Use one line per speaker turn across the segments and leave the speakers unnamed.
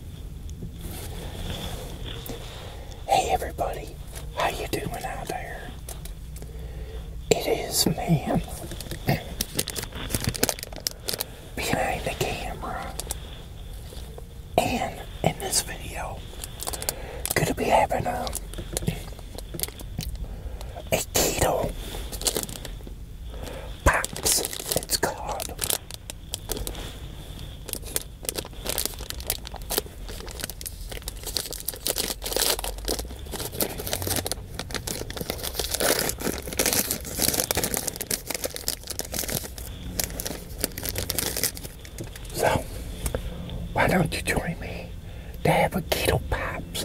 Hey everybody, how you doing out there? It is man behind the camera and in this video gonna be having a, um, a keto box it's called so, why don't you join me to have a keto pops?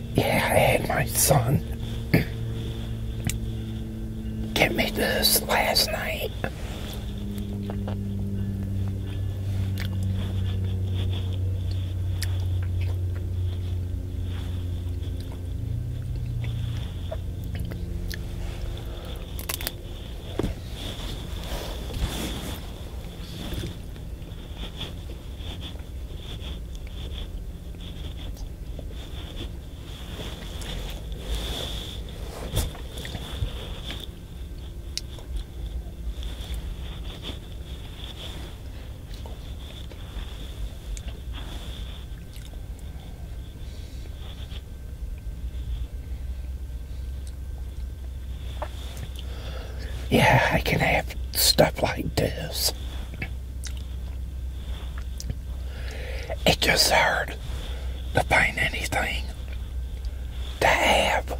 Yeah, I had my son get me this last night. Yeah, I can have stuff like this. It just hard to find anything to have.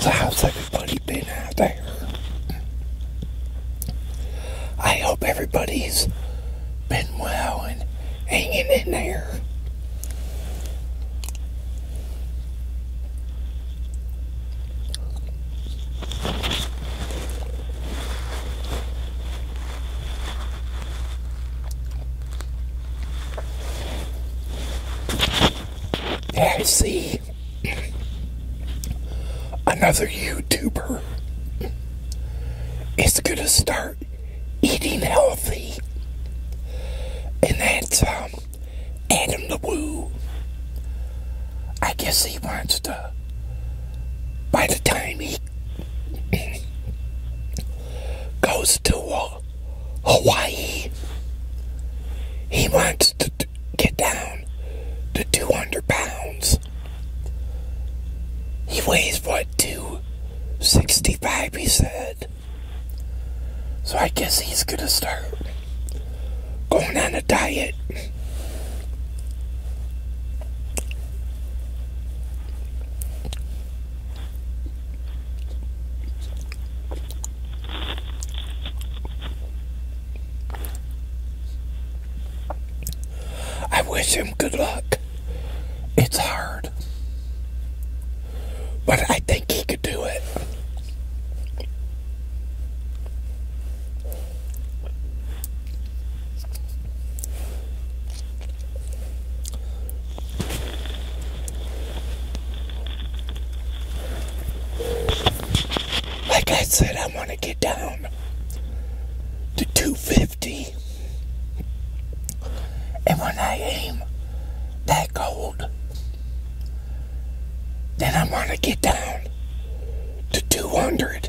So how's everybody been out there? I hope everybody's been well and hanging in there. I see another YouTuber is gonna start eating healthy, and that's um. Adam the I guess he wants to, by the time he goes to uh, Hawaii, he wants to get down to 200 pounds. He weighs, what, 265, he said. So I guess he's gonna start going on a diet. I wish him good luck. It's hard. But I think think could do it. Like I said, I want to get down to 250. And when I aim that gold, then I am going to get down to 200.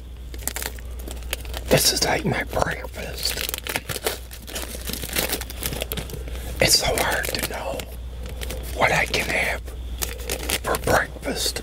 This is like my breakfast. It's so hard to know what I can have for breakfast.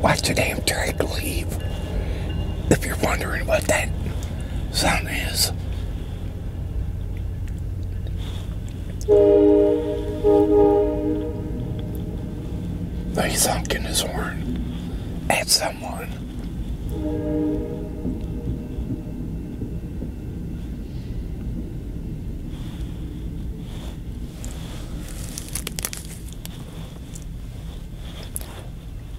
Why did Amtrak leave? If you're wondering what that sound is. He's honking his horn at someone.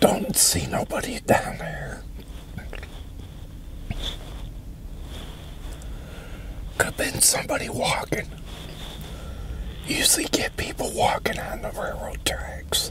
Don't see nobody down there. Could have been somebody walking. Usually get people walking on the railroad tracks.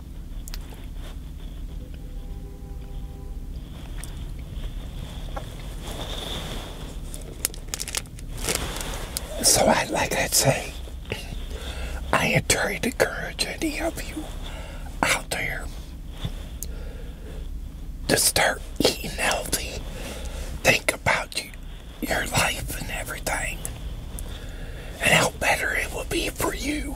So I would like to say, I encourage encourage any of you out there to start eating healthy. Think about your life and everything and how better it will be for you.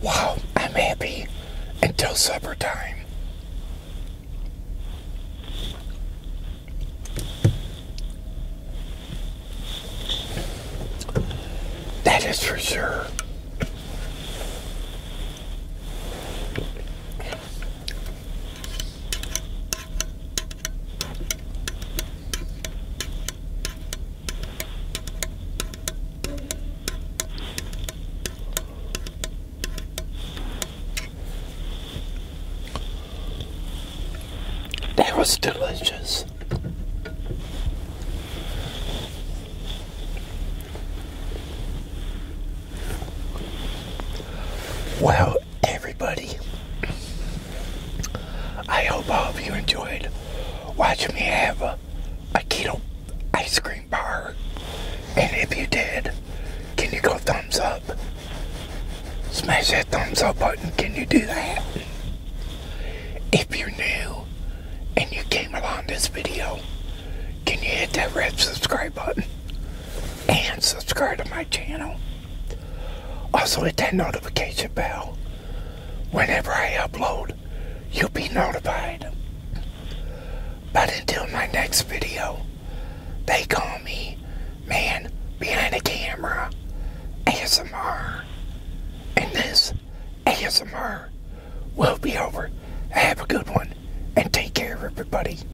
Wow, I'm happy until supper time. That is for sure. That was delicious. Wow everybody, I hope all of you enjoyed watching me have a, a keto ice cream bar. And if you did, can you go thumbs up? Smash that thumbs up button. Can you do that? If you're new and you came along this video, can you hit that red subscribe button? and subscribe to my channel. Also hit that notification bell. Whenever I upload, you'll be notified. But until my next video, they call me Man Behind the Camera ASMR. And this ASMR will be over. Have a good one and take care, everybody.